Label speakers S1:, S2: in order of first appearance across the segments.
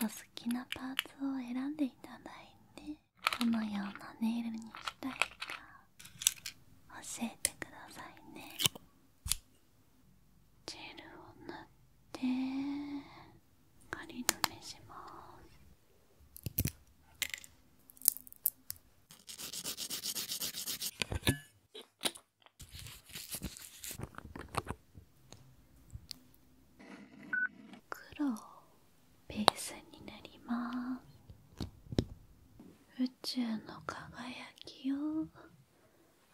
S1: お好きなパーツを選んでいただいてどのようなネイルにしたいか教えてくださいねジェルを塗って仮止めします黒ベースになります宇宙の輝きを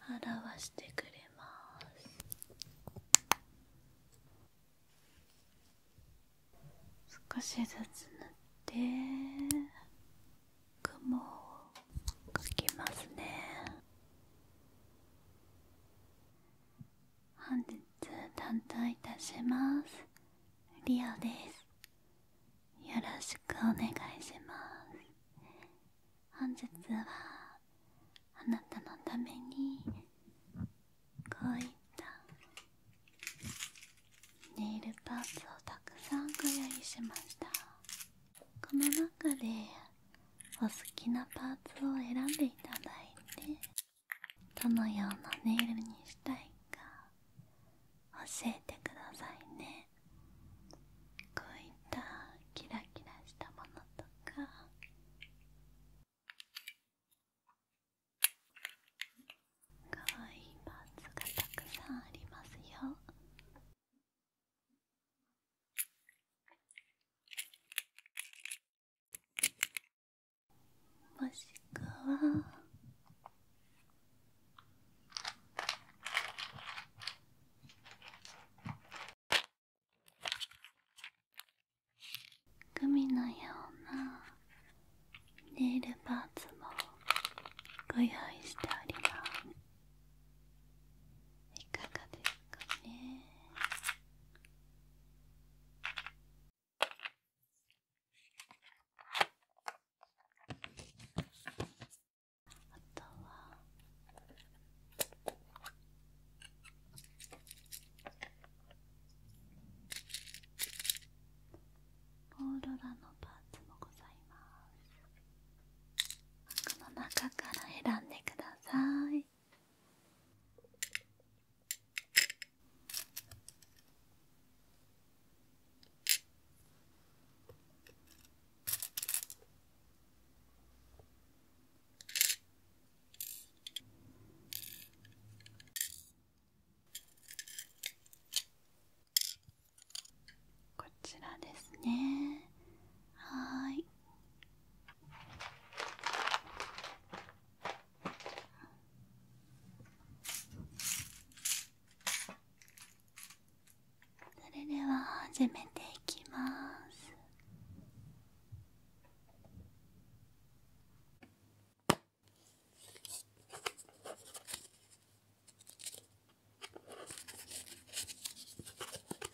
S1: 表してくれます少しずつ塗って雲を描けますね本日担当いたしますリオですよろしくお願いします本日はあなたのためにこういったネイルパーツをたくさんご用意しましたこの中でお好きなパーツを選んでいただいてどのようなネイルにしたいか教えてくださいねこういったキラキラしたものとかかわいいパーツがたくさんありますよもしくはグミのようなネイルパーツもご用意しておりますいかがですかねあとはオーロラのパーツもございますこの中から選んでくださいこちらですねはいそれでは始めていきます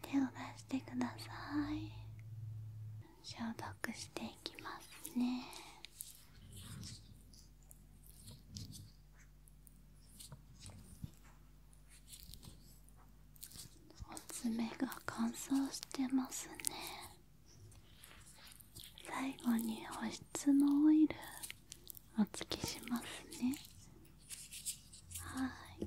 S1: 手を出してください消毒していきますねお爪が乾燥してますね最後に保湿のオイルお付けしますねはい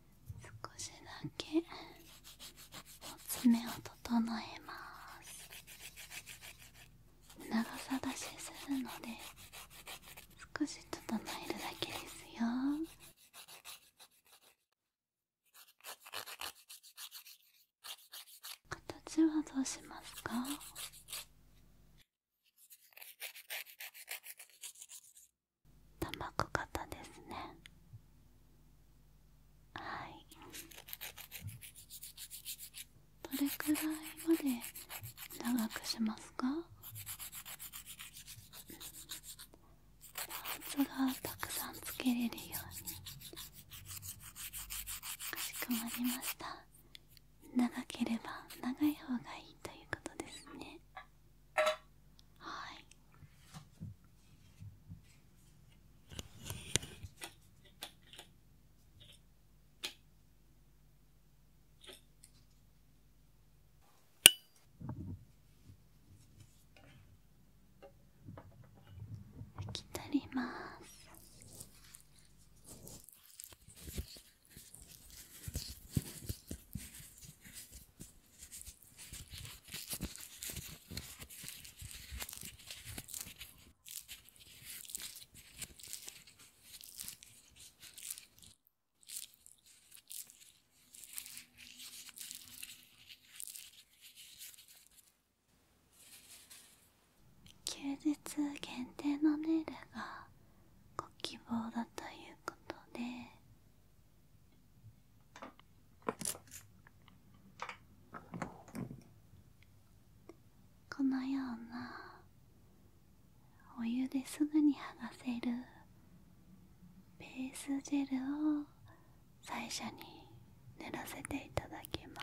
S1: 少しだけ爪を整えます長さ出しするので少し整えるだけですよ形はどうしますか玉く型ですねはいどれくらいまで長くしますかパーツがたくさんつけれるようにかしこまりました長ければ長い方がいいということですねはい拭き取ります休日限定のネイルがご希望だということでこのようなお湯ですぐに剥がせるベースジェルを最初に塗らせていただきます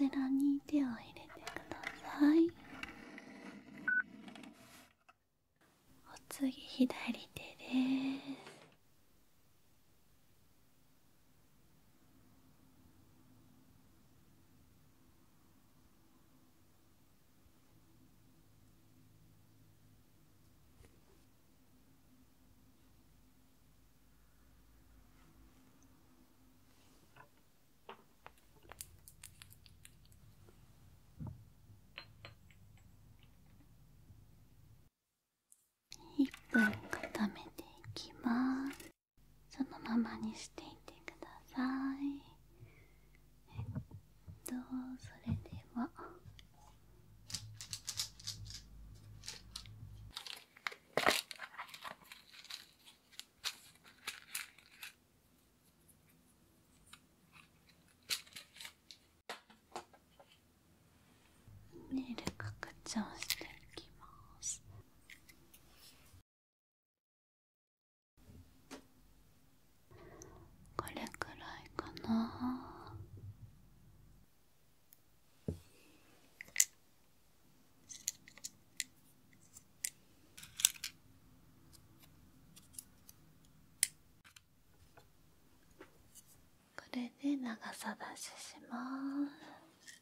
S1: こちらに手を入れてくださいお次左手です1分固めていきますそのままにしていてくださいえっとそれではメるル拡張していきます。これくらいかなこれで長さ出しします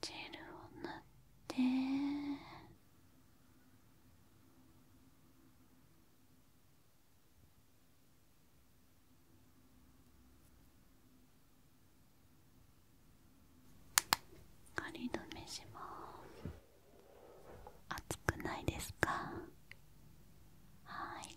S1: ジェルを塗って仮止めします熱くないですかはい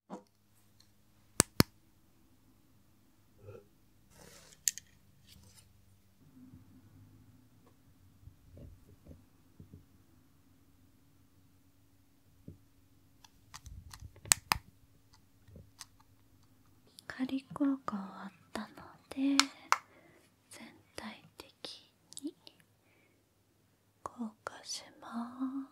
S1: 光効果終わったので全体的に硬化します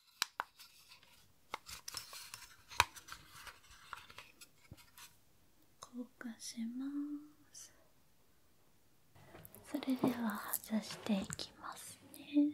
S1: 硬化しますそれでは外していきますね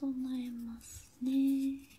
S1: 整えますね。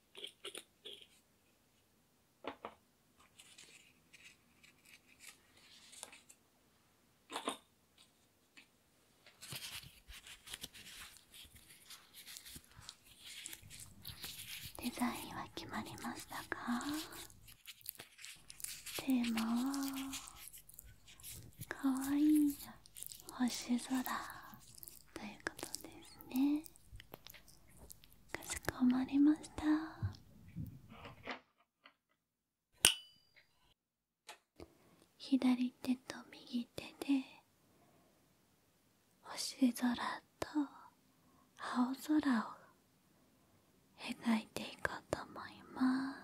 S1: デザインは決まりましたかテーマはかわいい星空ということですねかしこまりました左手と右手で星空と青空を描いていこうと思います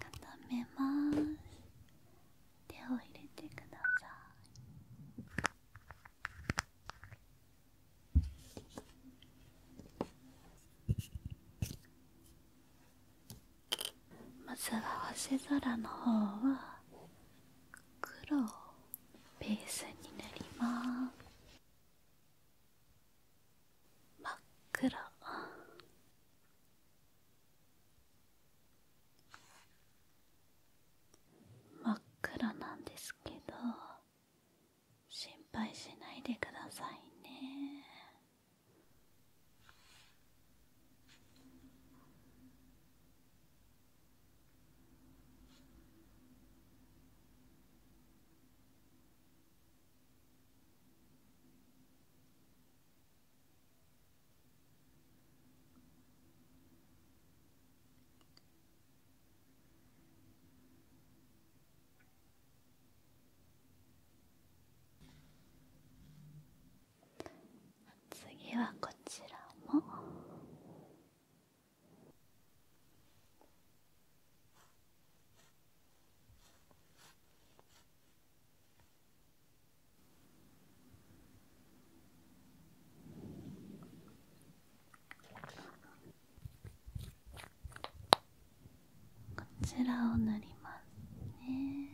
S1: 固めます手を入れてくださいまずは星空の方は黒をベースに塗ります真っ黒真っ暗なんですけど心配しないでくださいね次はこちらも。こちらを塗りますね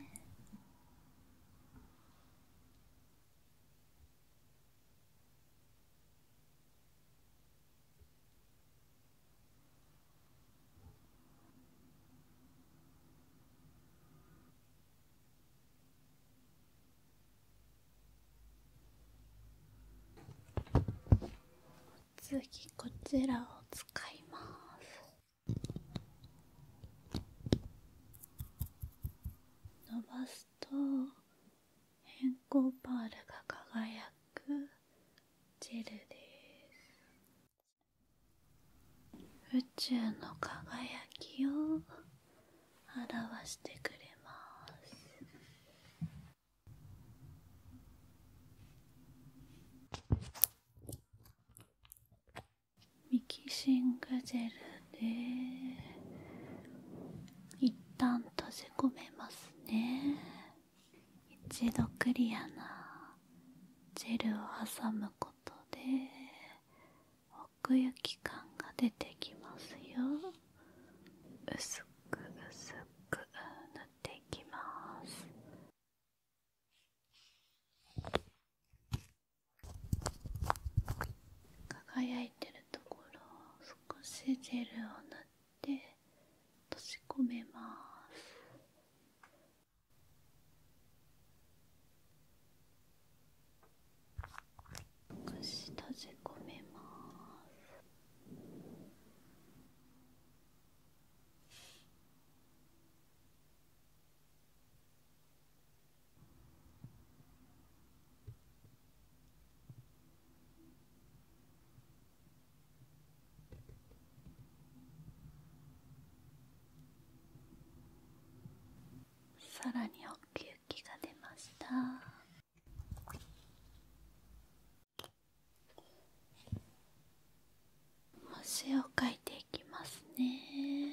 S1: 次こちらを使います伸ばすと変更パールが輝くジェルです宇宙の輝きを表してくれます。ミキシングジェルで一旦閉じ込めますね一度クリアなジェルを挟むことで奥行き感が出てきますよ薄く薄く輝いてるところを少しジェルを塗って閉じ込めますくし閉じ込めますさらに大きい気が出ました星を描いていきますね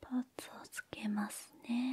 S1: パーツをつけますね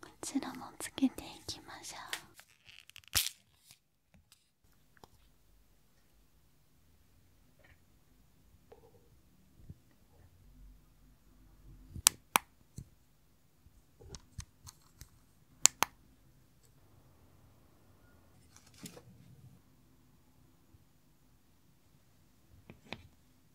S1: こちらもつけていきましょう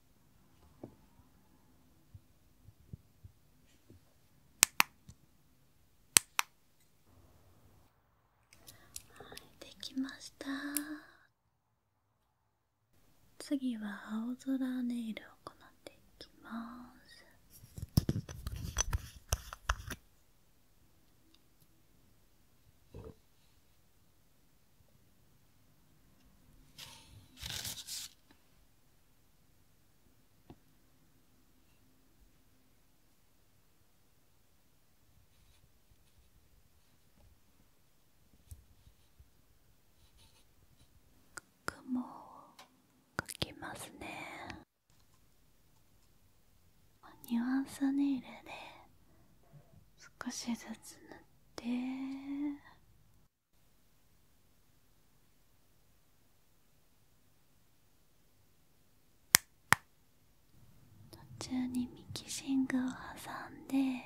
S1: はい、できました次は青空ネイルを行っていきます雲をかきますねニュアンスネイルで少しずつ塗っっ途中にミキシングを挟んで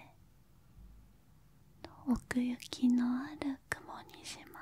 S1: 奥行きのある雲にします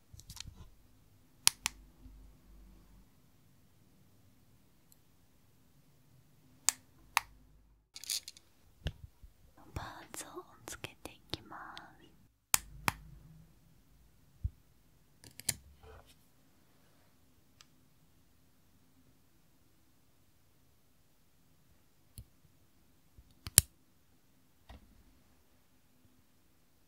S1: パーツをつけていきます。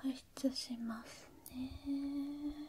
S1: 保湿しますね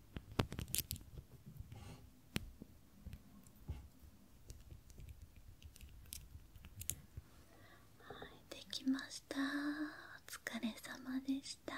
S1: はい、できました。お疲れ様でした。